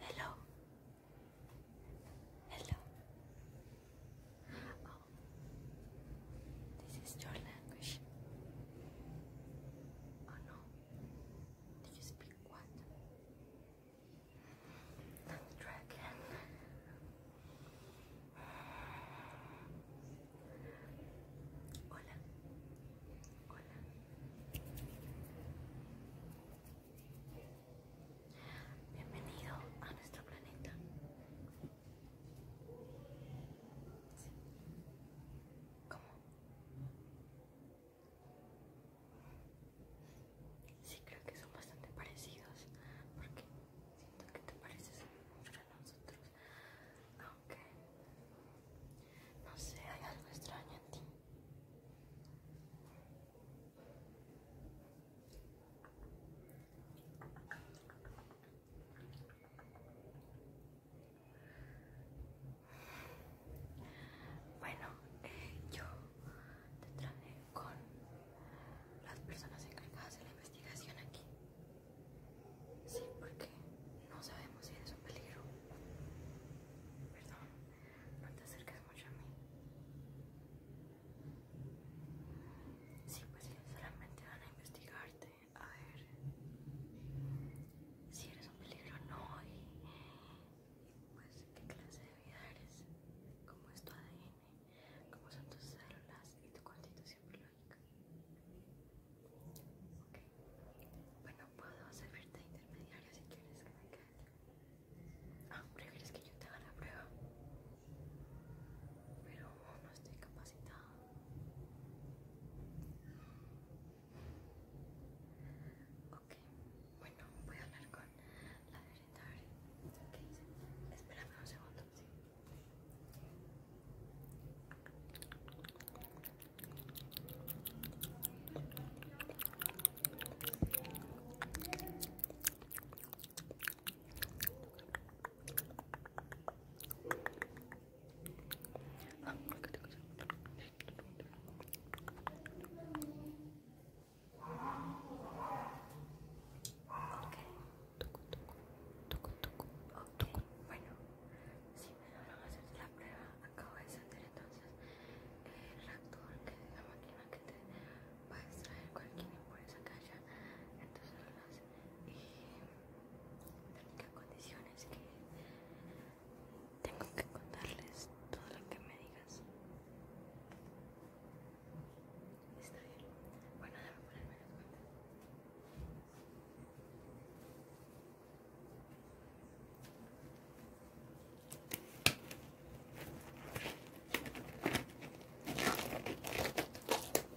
Hello. Hello. Oh, this is your language. Oh no. Do you speak what? Hola, hola. Bienvenido a nuestro planeta. ¿Cómo? Sí, creo que son bastante parecidos porque siento que te pareces mucho a nosotros. Aunque no sé, hay algo extraño en ti. Bueno, yo te traje con las personas encargadas de la investigación aquí. Sí, porque no sabemos si eres un peligro. Perdón, no te acerques mucho a mí. Sí, pues solamente van a investigarte. A ver si eres un peligro no y, pues qué clase de vida eres, cómo es tu ADN, cómo son tus células y tu constitución biológica. Bueno, puedo servirte de intermediario si quieres que me quede. Ah, ¿prefieres que yo te haga la prueba? Pero no estoy capacitado Ok, bueno, voy a hablar con la secretaria. Ok, espérame un segundo. Okay. Bueno, si me a hacerte la prueba, acabo de sentir entonces el reactor que es la máquina que te va a extraer cualquier impureza que haya en tus células y condiciones que tengo que contarles todo lo que me digas. Está bien. Bueno, déjame ponerme la cuentas.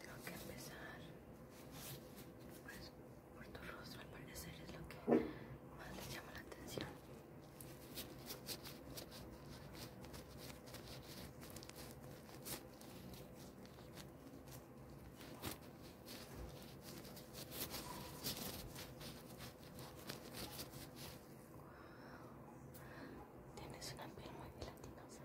tengo que empezar pues, por tu rostro, al parecer es lo que más le llama la atención. Tienes una piel muy gelatinosa.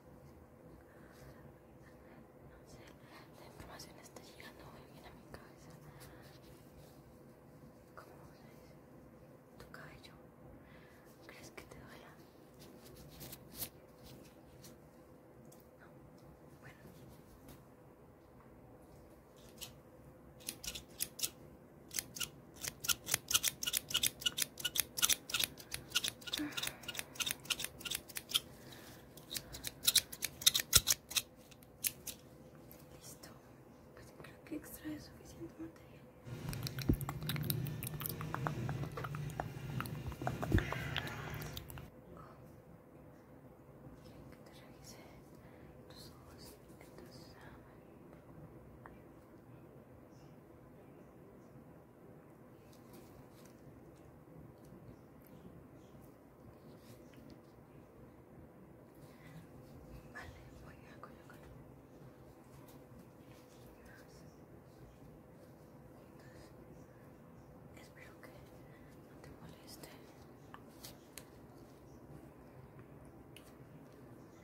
No sé, la información está llegando muy bien a mi cabeza. ¿Cómo se dice? ¿Tu cabello? ¿Crees que te duele? No, Bueno, Listo, creo que extrae suficiente material. Quieren que te revise tus ojos, Vale, voy a colocar Espero que no te moleste.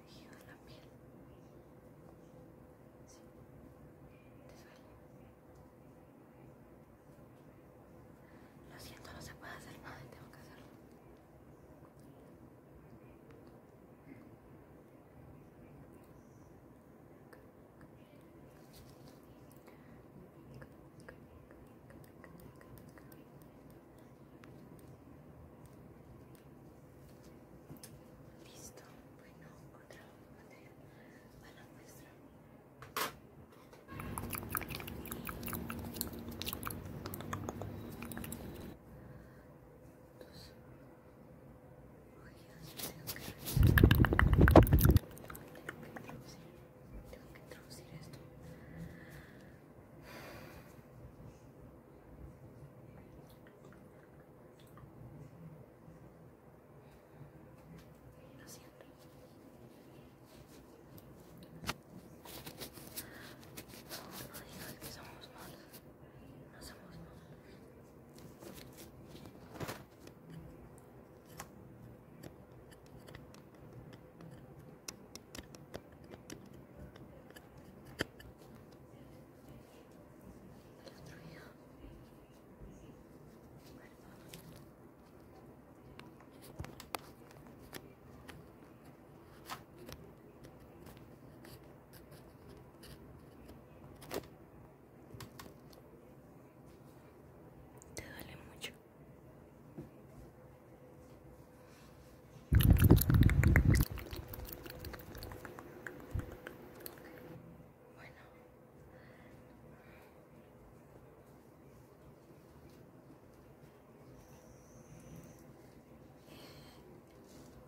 la piel. ¿Te Lo siento, no se puede hacer nada y tengo que hacerlo. Listo, bueno, otra materia a la muestra. tengo que revisar. Tengo que introducir, tengo que introducir esto. Lo siento. No, no digas que somos malos. No somos malos. Te duele mucho. Bueno.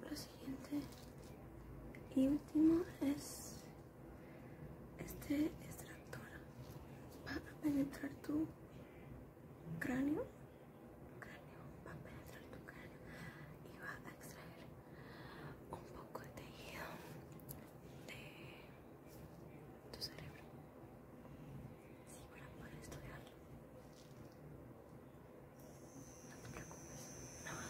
Lo siguiente y último es este extractor. para penetrar tu cráneo cráneo, va a penetrar tu cráneo y va a extraer un poco de tejido de tu cerebro. Sí, para poder estudiarlo. No te preocupes, no va a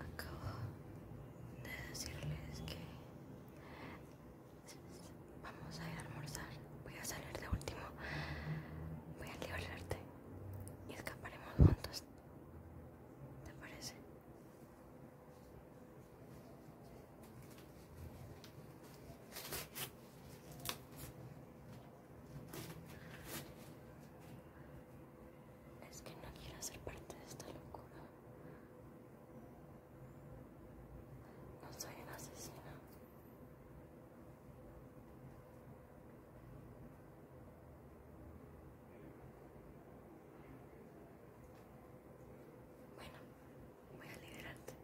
Acabo de decirles que vamos a ir a almorzar. Voy a salir de último. Voy a liberarte y escaparemos juntos. ¿Te parece? Es que no quiero ser parte de esta locura. No soy una asesina. Bueno, voy a liderarte